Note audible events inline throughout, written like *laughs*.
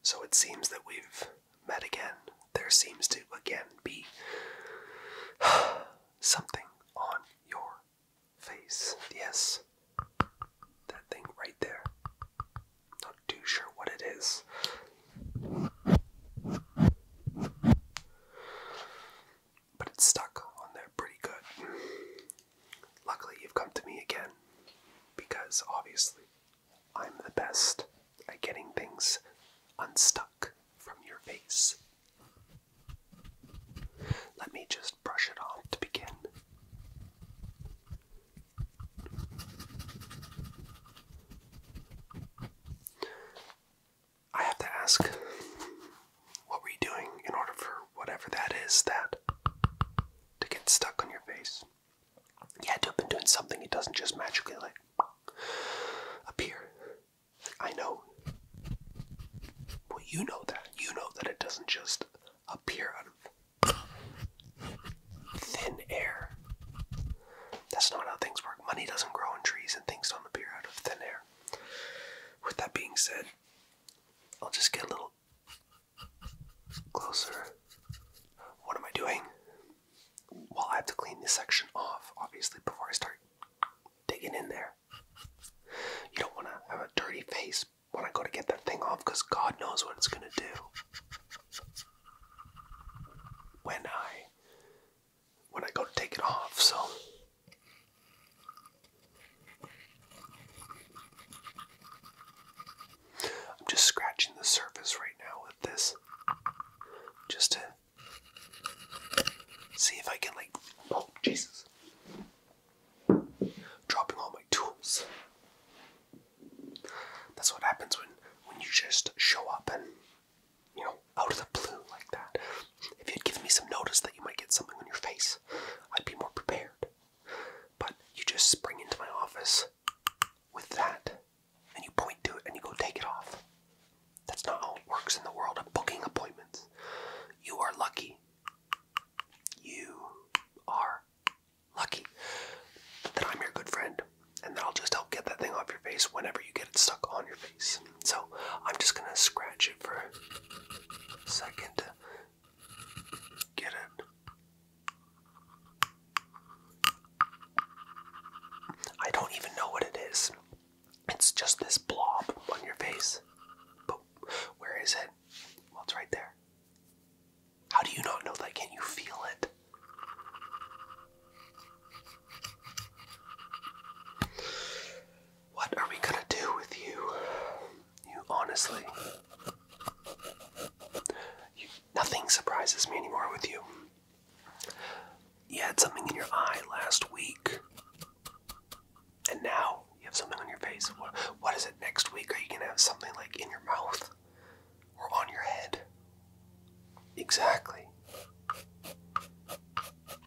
So it seems that we've met again. There seems to again be *sighs* something on your face. Yes, that thing right there. Not too sure what it is. But it's stuck on there pretty good. Luckily, you've come to me again because obviously I'm the best at getting things unstuck from your face. Let me just brush it off to begin. I have to ask, what were you doing in order for whatever that is that to get stuck on your face? Yeah, had to have been doing something, it doesn't just magically like appear. I know. Well, you know that. You know that it doesn't just appear out of thin air. That's not how things work. Money doesn't grow on trees and things don't appear out of thin air. With that being said, I'll just get a little Closer. What am I doing? Well, I have to clean this section off, obviously, before I start digging in there. You don't want to have a dirty face when I go to get that thing off because God knows what it's going to do. When I when I go to take it off, so I'm just scratching the surface right now with this just to see if I can like oh Jesus dropping all my tools. That's what happens when when you just show up and you know out of the blue like that. If you'd given me some notice that you might get something on your face, I'd be more prepared. But you just spring into my office with that and you point to it and you go take it off. That's not how it works in the world of booking appointments. You are lucky. You are lucky that I'm your good friend and that I'll just help get that thing off your face whenever you get it stuck on your face. So I'm just gonna scratch it for a second Get in. I don't even know what it is. It's just this blob on your face. where is it? Well, it's right there. How do you not know that? Can you feel it? What are we gonna do with you? You honestly. nothing surprises me anymore with you. You had something in your eye last week. And now you have something on your face. what is it next week? Are you gonna have something like in your mouth? Or on your head? Exactly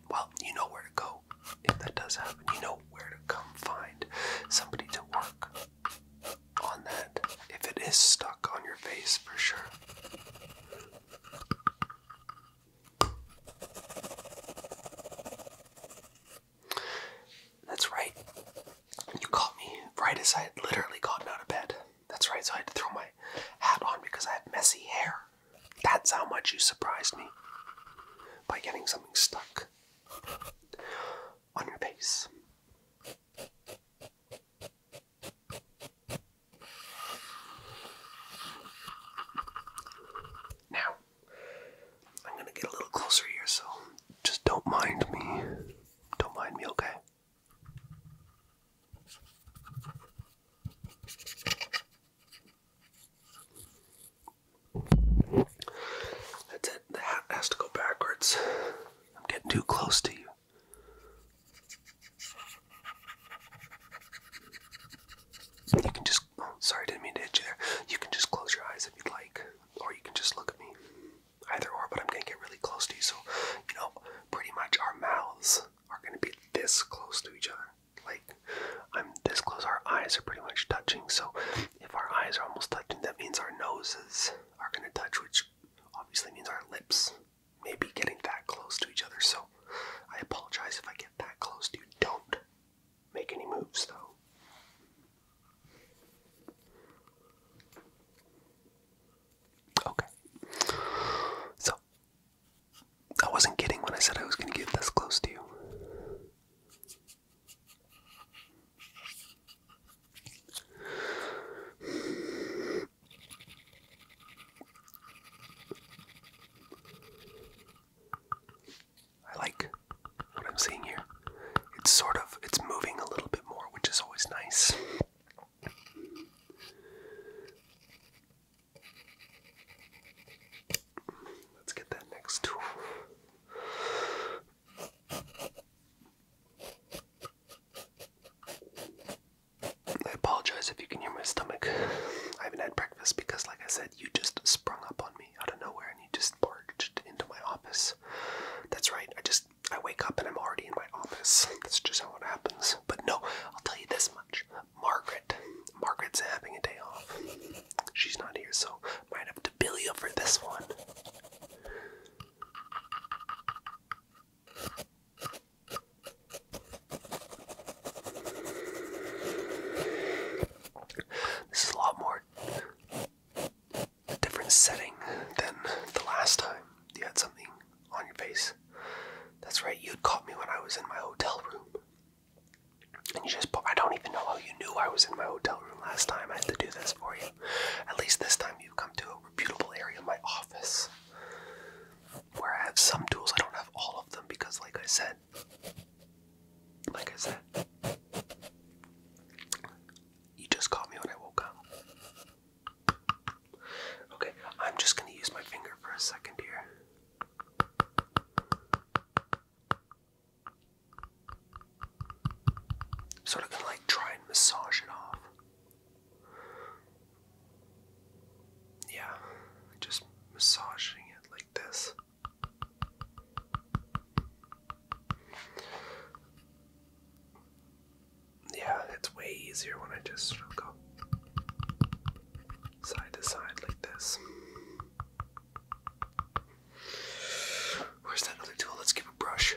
well, you know where to go if that does happen. You know where to come find somebody to work on that if it is stuck on your face for sure. That's right. You caught me right as I had literally gotten out of bed. That's right, so I had to throw my hat on because I had messy hair. That's how much you surprised me by getting something stuck on your face. Now, I'm going to get a little closer here, so just don't mind me. Don't mind me, okay? That's it. The hat has to go backwards. I'm getting too close to you. You can just. Oh, sorry, didn't mean to hit you there. You can just close your eyes if you'd like, or you can just look at me. Either or, but I'm gonna get really close to you, so you know, pretty much our mouths are going to be this close to each other. Like, I'm this close, our eyes are pretty much touching. So, if our eyes are almost touching, that means our noses are going to touch, which obviously means our lips may be getting that close to each other. So, I apologize if I get that close to you. Don't make any moves, though. Okay. So, I wasn't kidding when I said I was going to get this close to you. I like what I'm seeing here. It's sort of it's moving a little bit more, which is always nice. Let's get that next tool. I apologize if you can hear my stomach. I haven't had breakfast because, like I said, you just sprung up on me out of nowhere and you just barged into my office. That's right, I just I wake up and I'm already in my office. *laughs* That's just how it happens. But no, I'll tell you this much. Margaret. Margaret's having a day off. She's not here, so might have to Billy you for this one. This is a lot more different setting than the last time you had something on your face. That's right, you'd caught me when I was in my hotel room. And you just, I don't even know how you knew I was in my hotel room last time. I had to do this for you. At least this time you've come to a reputable area of my office where I have some tools. I don't have all of them because, like I said, like I said, you just caught me when I woke up. Okay, I'm just going to use my finger for a second here. Sort of gonna like try and massage it off. Yeah, just massaging it like this. Yeah, it's way easier when I just sort of go side to side like this. Where's that other tool? Let's give a brush.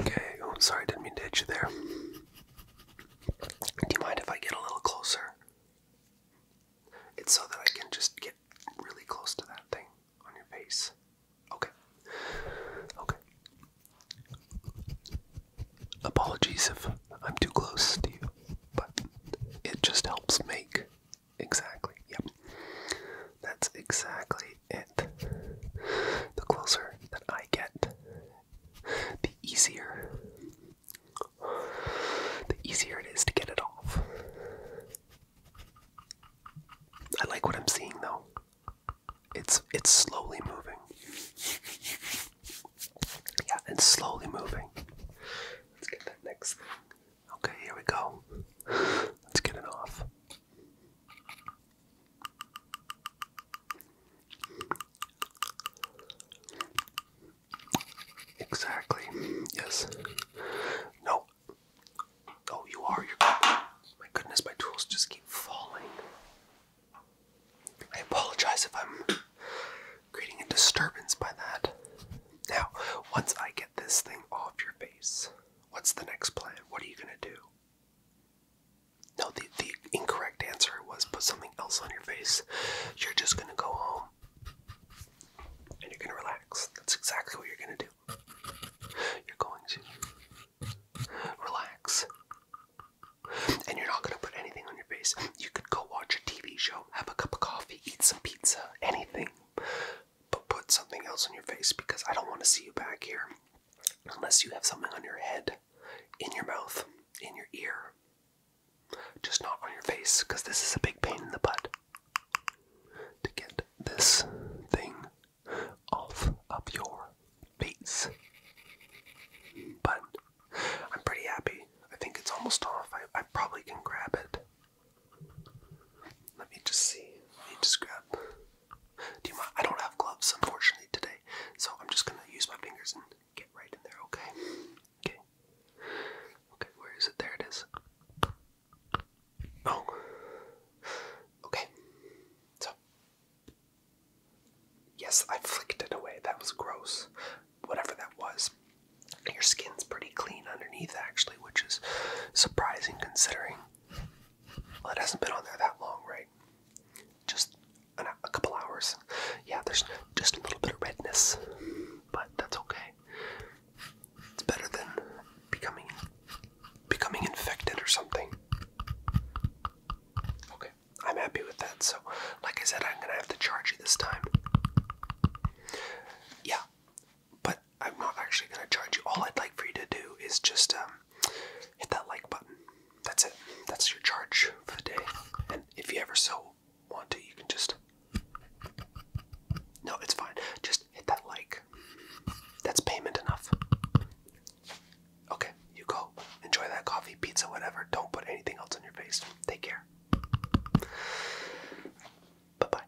Okay, oh, sorry, I didn't mean to hit you there. Do you mind if I get a little closer? It's so that I can just get really close to that thing on your face. Okay. Okay. Apologies if I'm too close to you, but it just helps make. Exactly. Yep. That's exactly it. The closer that I get the easier the easier it is to get it off. I like what I'm seeing though. It's it's slowly moving. Yeah, it's slowly moving. Let's get that next Okay, here we go. Let's get it off. Exactly. Yes. No. Oh, you are. Your my goodness, my tools just keep falling. I apologize if I'm creating a disturbance by that. Now, once I get this thing off your face, what's the next plan? What are you gonna do? No, the, the incorrect answer was put something else on your face. You're just gonna go home and you're gonna relax. That's exactly what you're gonna do. You're going to relax. And you're not gonna put anything on your face. You could go watch a TV show, have a cup of coffee, eat some pizza, anything. But put something else on your face because I don't want to see you back here unless you have something on your head, in your mouth, in your ear, just not on your face, because this is a big pain in the butt to get this thing off of your face. But I'm pretty happy. I think it's almost off. I, probably can grab it. Let me just see. Let me just grab do you mind? I don't have gloves, unfortunately, today, so I'm just gonna use my fingers and get right in there, okay? Okay. Okay, where is it? There it is. Oh. Okay. So. Yes, I flicked it away. That was gross. Whatever that was. Your skin's pretty clean underneath, actually, which is surprising considering. Well, it hasn't been on there that long, right? Just a couple hours. Yeah, there's just a little bit of redness, but that's okay. It's better than becoming becoming infected or something. Okay, I'm happy with that. So, like I said, I'm gonna have to charge you this time. Yeah, but I'm not actually going to charge you. All I'd like for you to do is just um, hit that like button. That's it. That's your charge for the day. And if you ever so want to, you can just. No, it's fine. Just hit that like. That's payment enough. Okay, you go. Enjoy that coffee, pizza, whatever. Don't put anything else on your face. Take care. Bye bye.